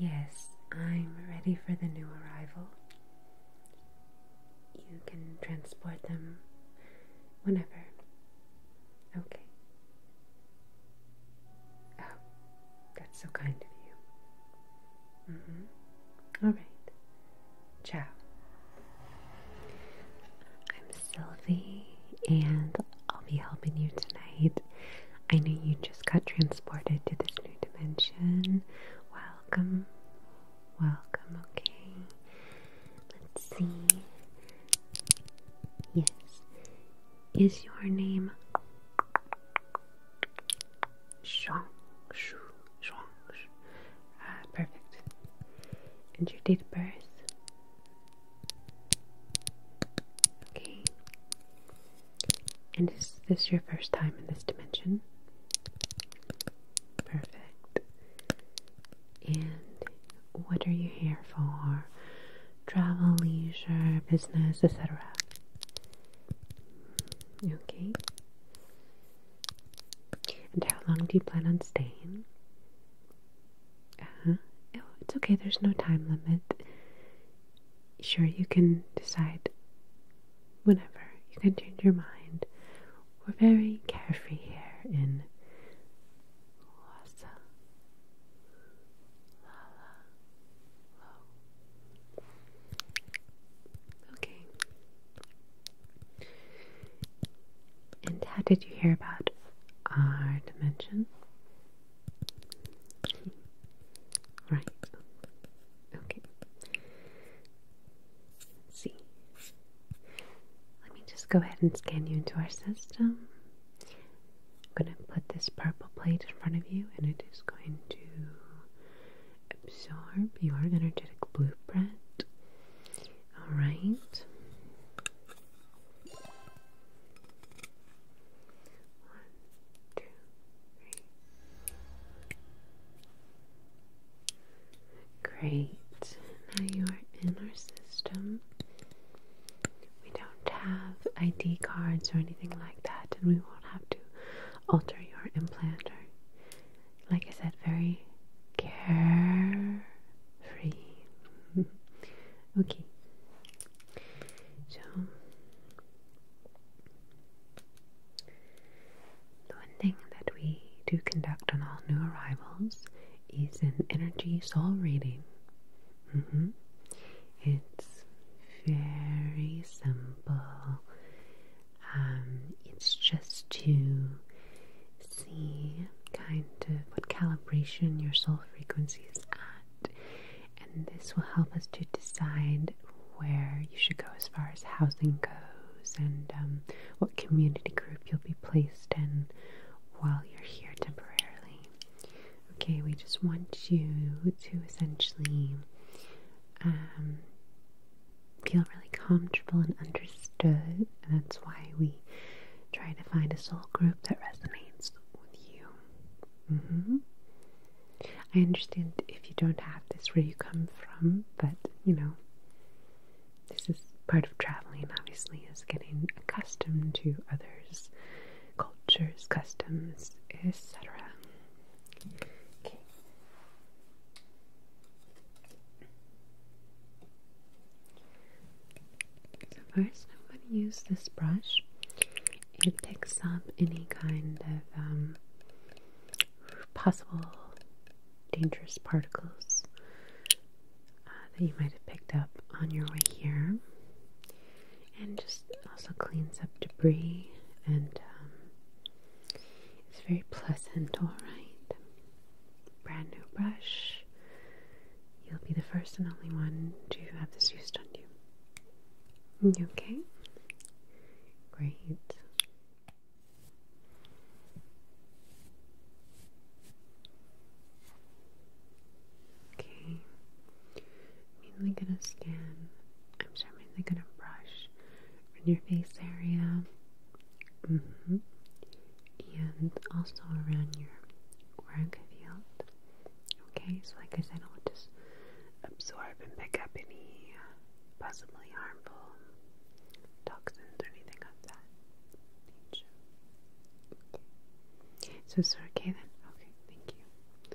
Yes, I'm ready for the new arrival. You can transport them whenever. Okay. Oh, that's so kind of you. Mm-hmm. All right. Ciao. I'm Sylvie, and I'll be helping you tonight. I know you just got transported to this new dimension. Welcome. Welcome, okay. Let's see. Yes. Is your name Zhuang Shu. Zhuang Shu. Ah, perfect. And your date of birth. Okay. And is this your first time in this dimension? Perfect. And what are you here for? Travel, leisure, business, etc. Okay. And how long do you plan on staying? Uh it's okay, there's no time limit. Sure, you can decide whenever. You can change your mind. We're very carefree here in Lhasa. Lala. Okay. And how did you hear about our dimension? Right. Okay. see. Let me just go ahead and scan you into our system. I'm going to put this purple plate in front of you and it is going to absorb your energetic blueprint. All right. One, two, three. Great. Now you are in our system. We don't have ID cards or anything like that, and we won't have to alter your implanter. Like I said, very carefree. okay. So, the one thing that we do conduct on all new arrivals is an energy soul reading. Mm-hmm. It's very simple. Um, it's just to see kind of what calibration your soul frequency is at, and this will help us to decide where you should go as far as housing goes and um, what community group you'll be placed in while you're here temporarily. Okay, we just want you to essentially um, feel really comfortable and understood. And that's why we try to find a soul group that resonates with you. Mm-hmm. I understand if you don't have this where you come from, but you know, this is part of traveling, obviously, is getting accustomed to others' cultures, customs, etc. Okay. So first I'm going to use this brush. It picks up any kind of um, possible dangerous particles uh, that you might have picked up on your way here and just also cleans up debris and um, it's very pleasant, alright? Brand new brush. You'll be the first and only one to have this used on you. You okay? Great. Okay. Mainly gonna scan, I'm sure gonna brush in your face area. Mm-hmm. And also around your auric field. Okay, so like I said, I'll just absorb and pick up any uh, possibly harmful toxins or anything of that nature. Okay. So it's okay then? Okay, thank you.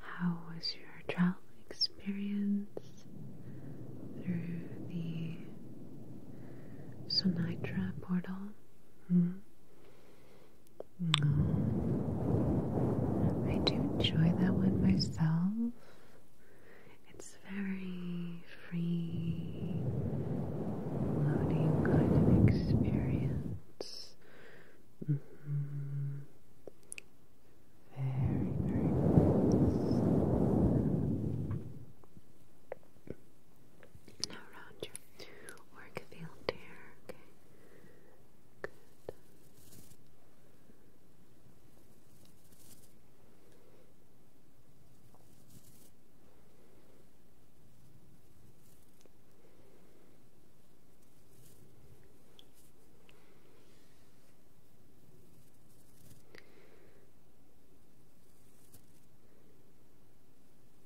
How was your travel experience through the Sonitra portal? Mm-hmm. I do enjoy that one myself. It's very free, floating kind of experience. Mm-hmm. Very, very nice. Now around your work field here, okay? Good.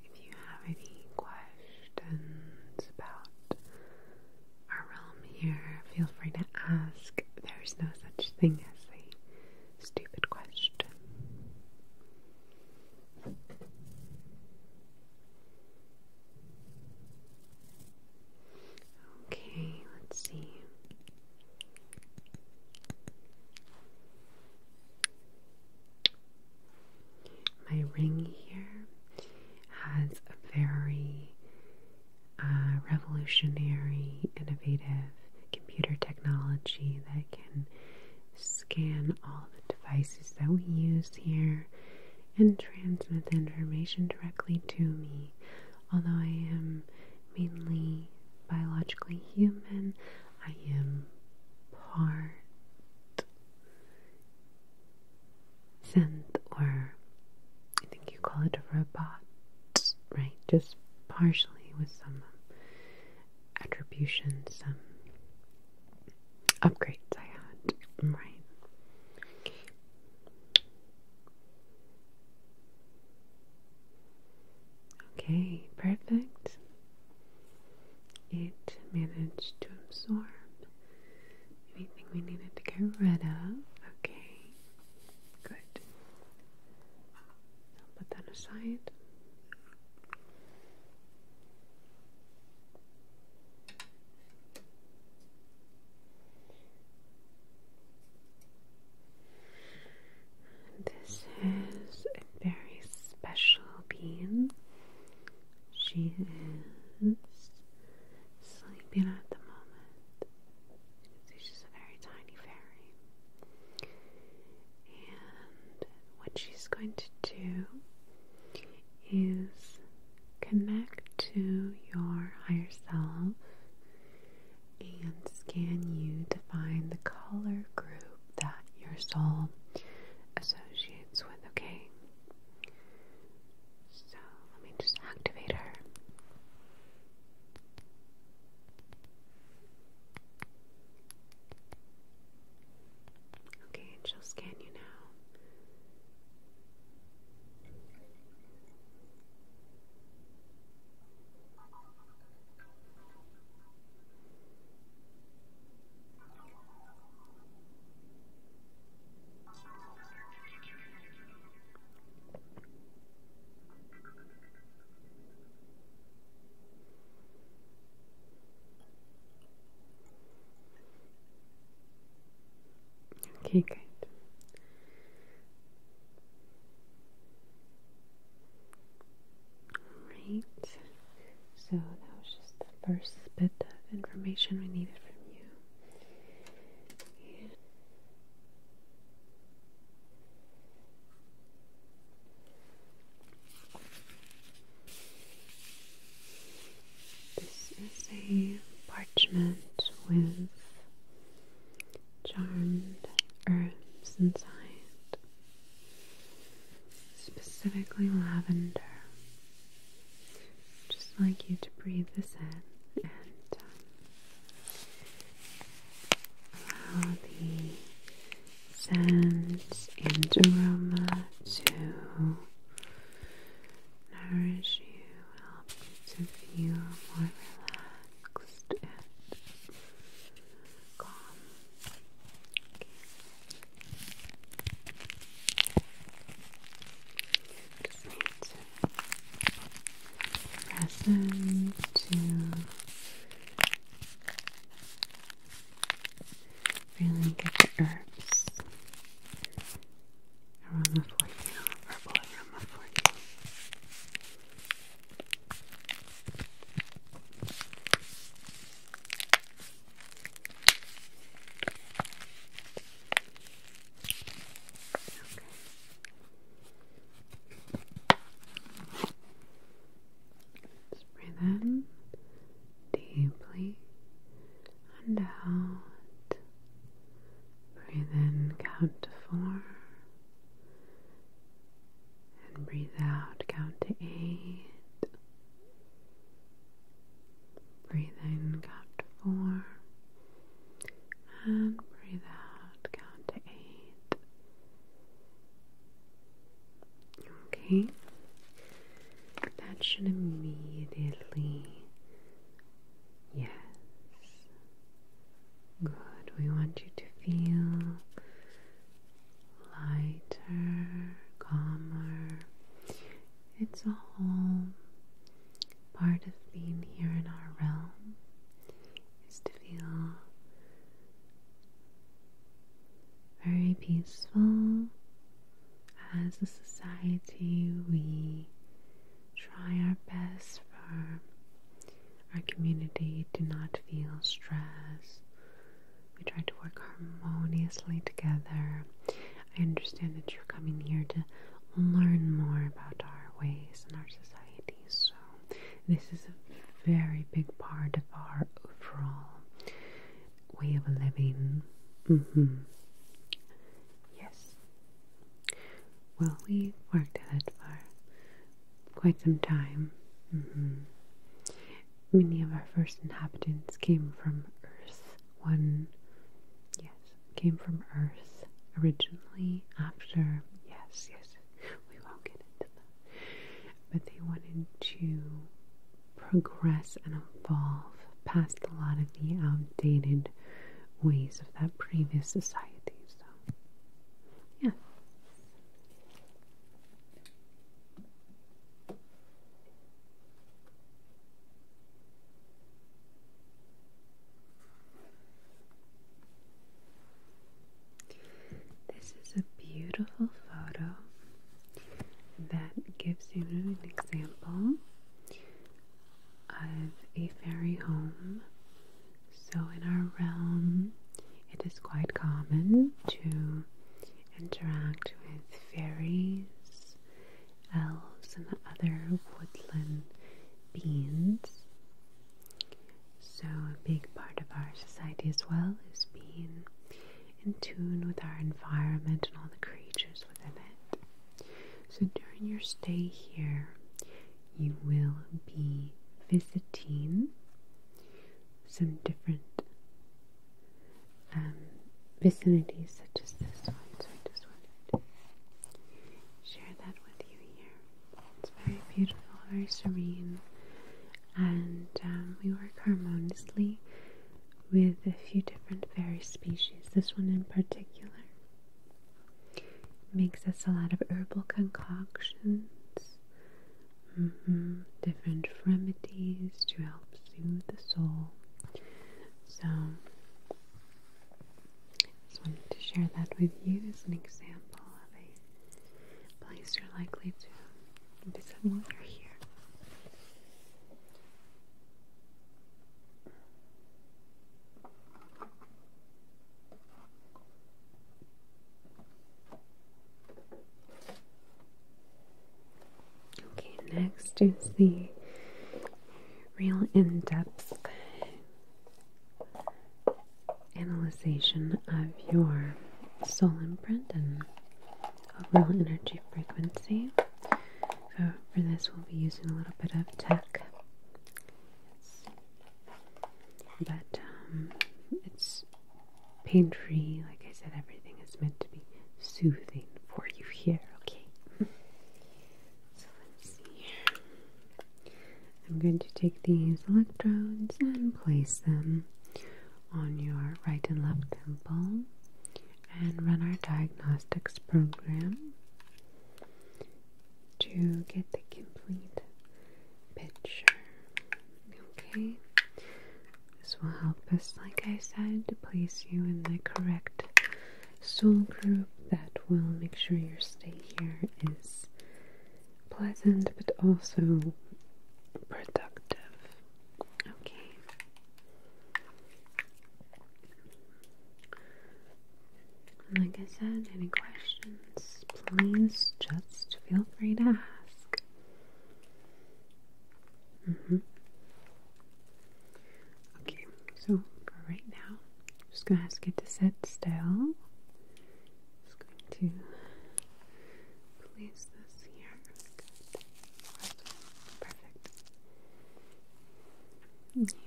If you have any questions about our realm here, feel free to ask. There's no such thing as a Stupid question. Okay, let's see. My ring here has a very uh, revolutionary, innovative computer technology that can scan all the devices that we use here and transmit the information directly to me. Although I am mainly biologically human, I am part synth, or I think you call it a robot, right? Just partially with some attributions, some um, upgrades I had, right? okay, perfect. It managed to absorb anything we needed to get rid of. Okay, good. I'll put that aside. This is a very special being. She is sleeping at the moment. she's a very tiny fairy. And what she's going to do is connect to your higher self and scan you to find the color group that your soul associates with, okay? So let me just activate her. Okay, she'll scan you now. Okay, good. Alright, so that was just the first bit of information we needed from you. This is a parchment with charmed herbs inside, specifically lavender. Just like you to breathe this in and um, Allow the scent and aroma to nourish you, help you to feel more relaxed and calm. Press them to really get the herbs aroma for you, herbal aroma for you. Okay breathe in deeply and out. Breathe in, count to four. And breathe out, count to eight. Breathe in, count to four. And breathe out, count to eight. Okay, that should immediately. Yes. Good. We want you to feel lighter, calmer. It's a whole part of being here in our realm is to feel very peaceful. As a society, we try our best for our community to not feel stress. We try to work harmoniously together. I understand that you're coming here to learn more about our ways and our society, so this is a very big part of our overall way of living. Mm-hmm. Yes. Well, we worked at it for quite some time. Mm-hmm. Many of our first inhabitants came from Earth. One, yes, came from Earth originally after. Yes, yes, we won't get into that. But they wanted to progress and evolve past a lot of the outdated ways of that previous society. So, yeah. This is a beautiful photo that gives you an example of a fairy home. So, in our realm, it is quite common to interact with fairies, elves, and other woodland beings. So, a big part of our society as well is being in tune with our environment and all the creatures within it. So, during your stay here, you will be visiting some different um, vicinities, such as this one. So, I just wanted to share that with you here. It's very beautiful, very serene, and um, we work harmoniously with a few different fairy species. This one in particular makes us a lot of herbal concoctions. Mm-hmm. Different remedies to help soothe the soul. So, just wanted to share that with you as an example of a place you're likely to visit while here. Okay, next is the real in-depth analyzation of your soul imprint and real energy frequency. So, for this, we'll be using a little bit of tech. but um, it's pain free. Like I said, everything is meant to be soothing for you here, okay? so, let's see I'm going to take these electrodes and place them on your right and left temple and run our diagnostics program to get the complete picture. Okay, this will help us, like I said, to place you in the correct soul group that will make sure your stay here is pleasant but also productive. Okay. Like I said, any questions, please just feel free to ask. Mm-hmm. Okay, so for right now, I'm just going to ask you to sit still. Just going to place this here. Perfect. and the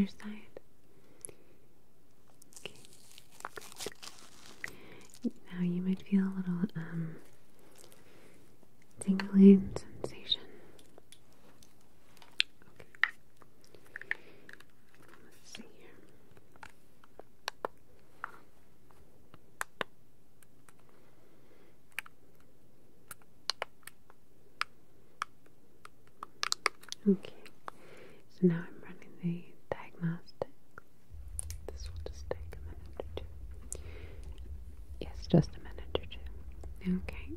other side. Okay, Now you might feel a little um, tingling sensation. Okay. Let's see here. Okay, so now I'm running the diagnostic. This will just take a minute or two. Yes, just a minute or two. Okay.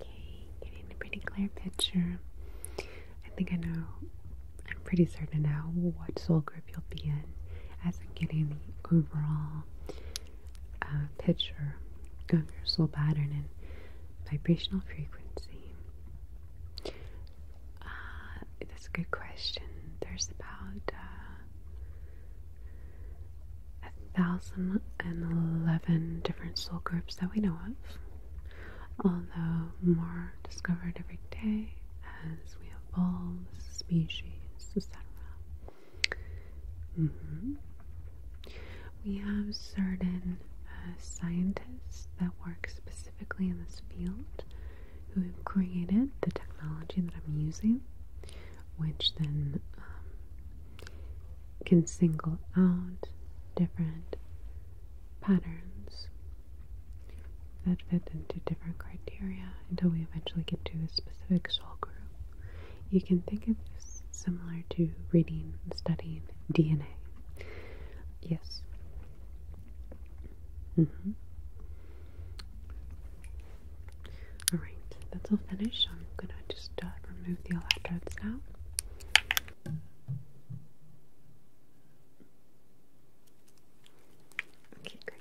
Okay, getting a pretty clear picture. I think I know I'm pretty certain now what soul group you'll be in as I'm getting the overall uh, picture of your soul pattern and vibrational frequency. Uh, that's a good question. There's about uh, a thousand and eleven different soul groups that we know of, although more discovered every day as we evolve species, etc. Mm-hmm. We have certain uh, scientists that work specifically in this field who have created the technology that I'm using, which then um, can single out different patterns that fit into different criteria until we eventually get to a specific soul group. You can think of this similar to reading studying DNA. Yes. Mm-hmm. Alright, that's all finished. I'm gonna just uh, remove the electrodes now. Okay, great.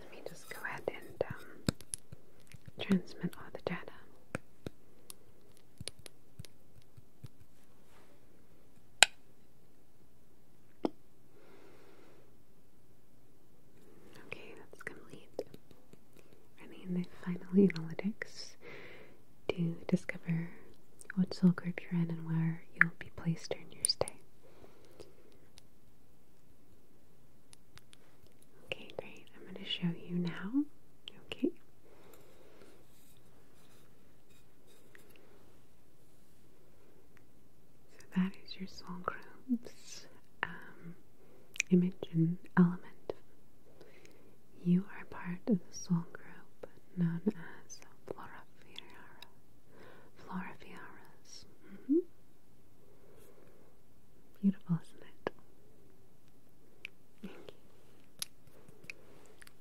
Let me just go ahead and um, transmit all the data. Okay, that's complete. And then finally analytics to discover what soul group you're in and where you'll be placed during your stay. Okay, great. I'm going to show you now. Okay. So that is your soul group's um, image and element. You are part of the soul group known as Florifiara. Florifiaras. Mm -hmm. Beautiful, isn't it?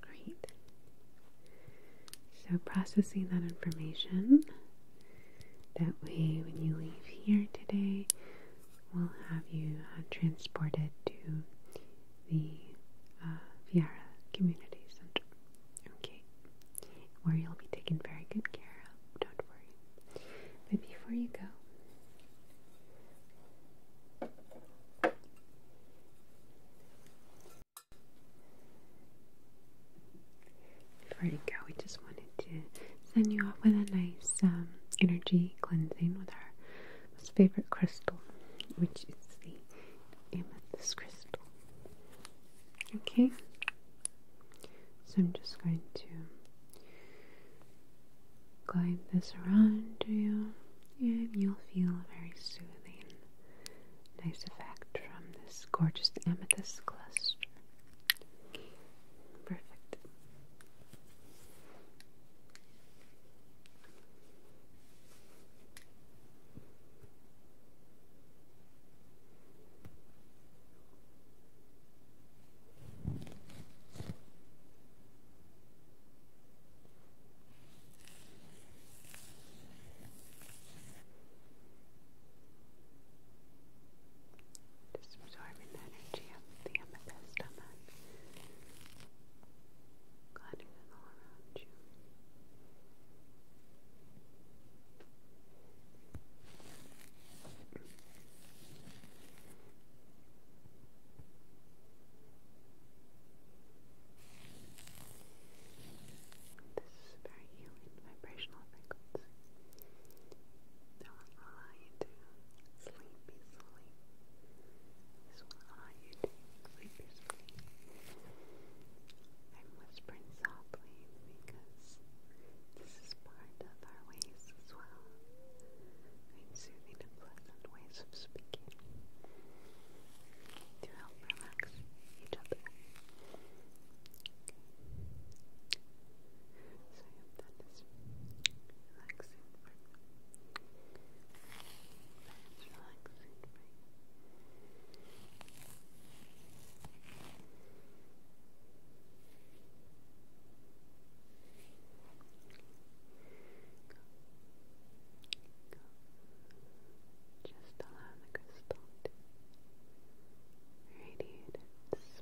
Great. So, processing that information. That way, when you leave here today, we'll have you uh, transported to the uh, Viara Community Center. Okay. Where you'll be taken very good care of. Don't worry. But before you go, before you go, we just wanted to send you off with a nice um, energy cleansing with our most favorite crystal, which is the amethyst crystal. Okay? So I'm just going to Glide this around you and you'll feel a very soothing, nice effect from this gorgeous amethyst cluster. Perfect. Just absorbing the energy of the amethyst gliding all around you. This is very healing vibrational frequency that will allow you to sleep peacefully. This will allow you to sleep peacefully. I'm whispering softly because this is this part of our ways as well. Find soothing and pleasant ways of speaking to help relax each other. Okay. So I hope that is relaxing for that is relaxing for you. Just allow the crystal to radiate its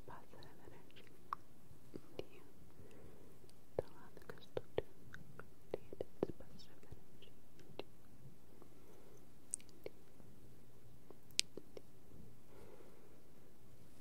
positive energy into you. Just allow the crystal to radiate its positive energy into you. Into you. Into you. Into you.